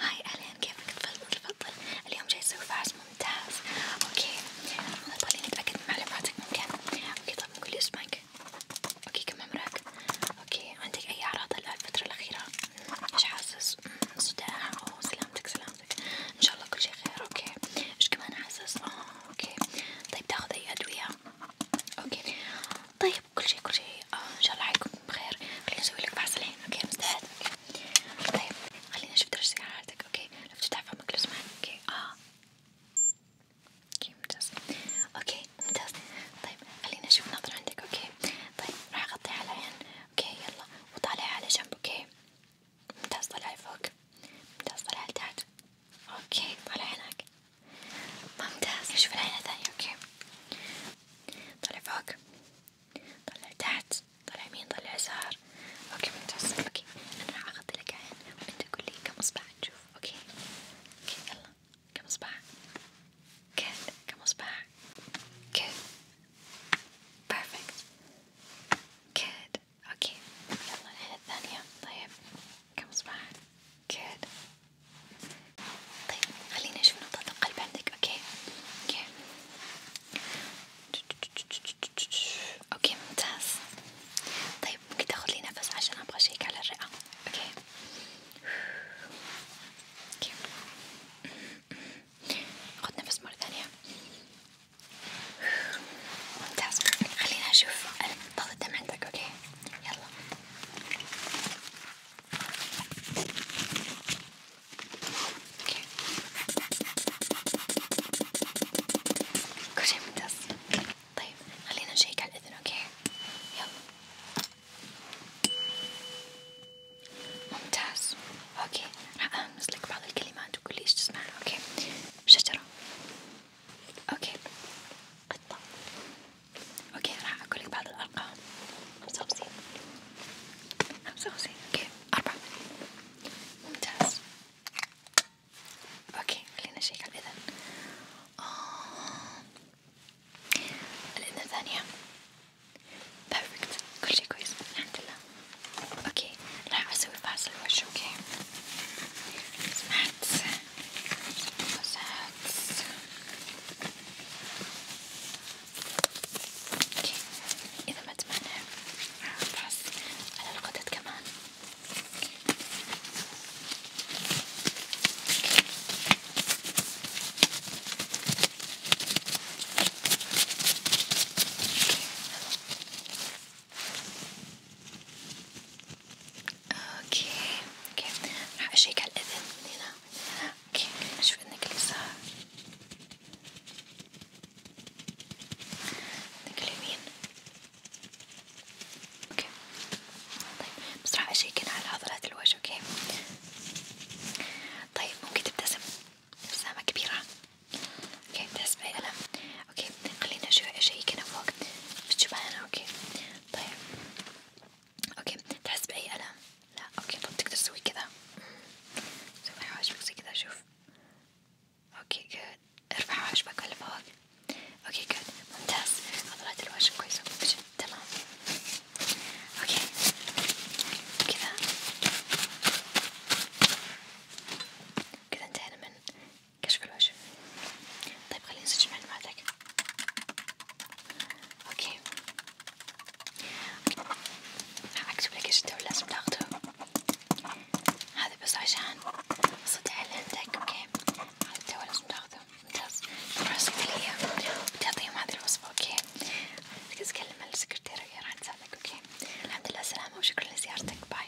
هاي أهلين كيفك تفضل تفضل اليوم جاي أسوي فحص ممتاز اوكي خليني أتأكد من معلوماتك ممكن اوكي طب قولي اسمك اوكي كم عمرك اوكي عندك أي أعراض الفترة الأخيرة ايش حاسس صداع أو سلامتك سلامتك ان شاء الله كل شي خير اوكي ايش كمان حاسس اوكي طيب تاخذ أي أدوية اوكي طيب كل شيء كل شيء آه ان شاء الله حيكون بخير خليني اسوي لك فحص الحين اوكي مستعد اوكي طيب خليني اشوف درجة حرارتك اوكي لو تفتح فمك لو سمحت اوكي اه اوكي ممتاز اوكي ممتاز طيب خليني اشوف نظر عندك اوكي طيب راح اغطي على العين اوكي يلا وطالع على جنب اوكي ممتاز طالع فوق ممتاز طالع لتحت اوكي طالع هناك ممتاز نشوف العينة الثانية اوكي طلع فوق طلع تحت طلع يمين طلع يسار اوكي ممتاز اوكي انا راح اغطي لك عين وانت قول لي كم اصبع تشوف اوكي اوكي يلا كم اصبع كذا كم اصبع كذا بيرفكت كذا اوكي يلا العين الثانية طيب كم اصبع كذا طيب خليني أشوف نبضات القلب عندك أوكي أوكي أوكي ممتاز طيب ممكن تاخذ لي نفس عشان أبغى أشيك على الرئة أوكي أوكي خذ نفس مرة ثانية ممتاز خليني أشوف ضغط الدم عندك أوكي يلا اوكي كل شي ممتاز طيب خلينا نشيك على الإذن اوكي يلا ممتاز اوكي راح ألمس لك بعض الكلمات وقولي ايش تسمعين اوكي شجرة اوكي قطة اوكي راح اقولك بعض الارقام خمسة وخمسين خمسة وخمسين اوكي اربعة ممتاز اوكي خلينا نشيك على الاذن آه، الاذن الثانية بيرفكت كل شي كويس الحمد لله اوكي راح اسوي فحص الوجه اوكي سمعت وسعت اوكي اذا ما تمنع راح افحص على الغدد كمان اوكي اوكي اوكي راح اشيك على الاذن من هنا من هنا اوكي اشوف اذنك اليسار اذنك اليمين اوكي طيب بس راح اشيك هنا على عضلات الوجه اوكي طيب ممكن تبتسم ابتسامة كبيرة اوكي بتحس بأي ألم اوكي خلينا شوي اشيك هنا فوق بالجبهة اوكي طيب اوكي تحس بأي ألم؟ لا اوكي طب تقدر تسوي كذا سوي حواجبك زي كذا شوف اوكي جود ارفع حواجبك ولا فوق اوكي جود ممتاز عضلات الوجه كويسة تمام اوكي كذا كذا انتهينا من كشف الوجه طيب خليني نسجل معلوماتك اوكي راح اكتب لك ايش الدواء لازم تاخده هذا بس عشان صدع اللي عندك اوكي هذا الدواء لازم تاخده ممتاز بروح الصيدلية وتعطيهم هذه الوصفة اوكي تقدر تكلم السكرتيرة راح ساعدك اوكي الحمد لله سلامة وشكرا لزيارتك باي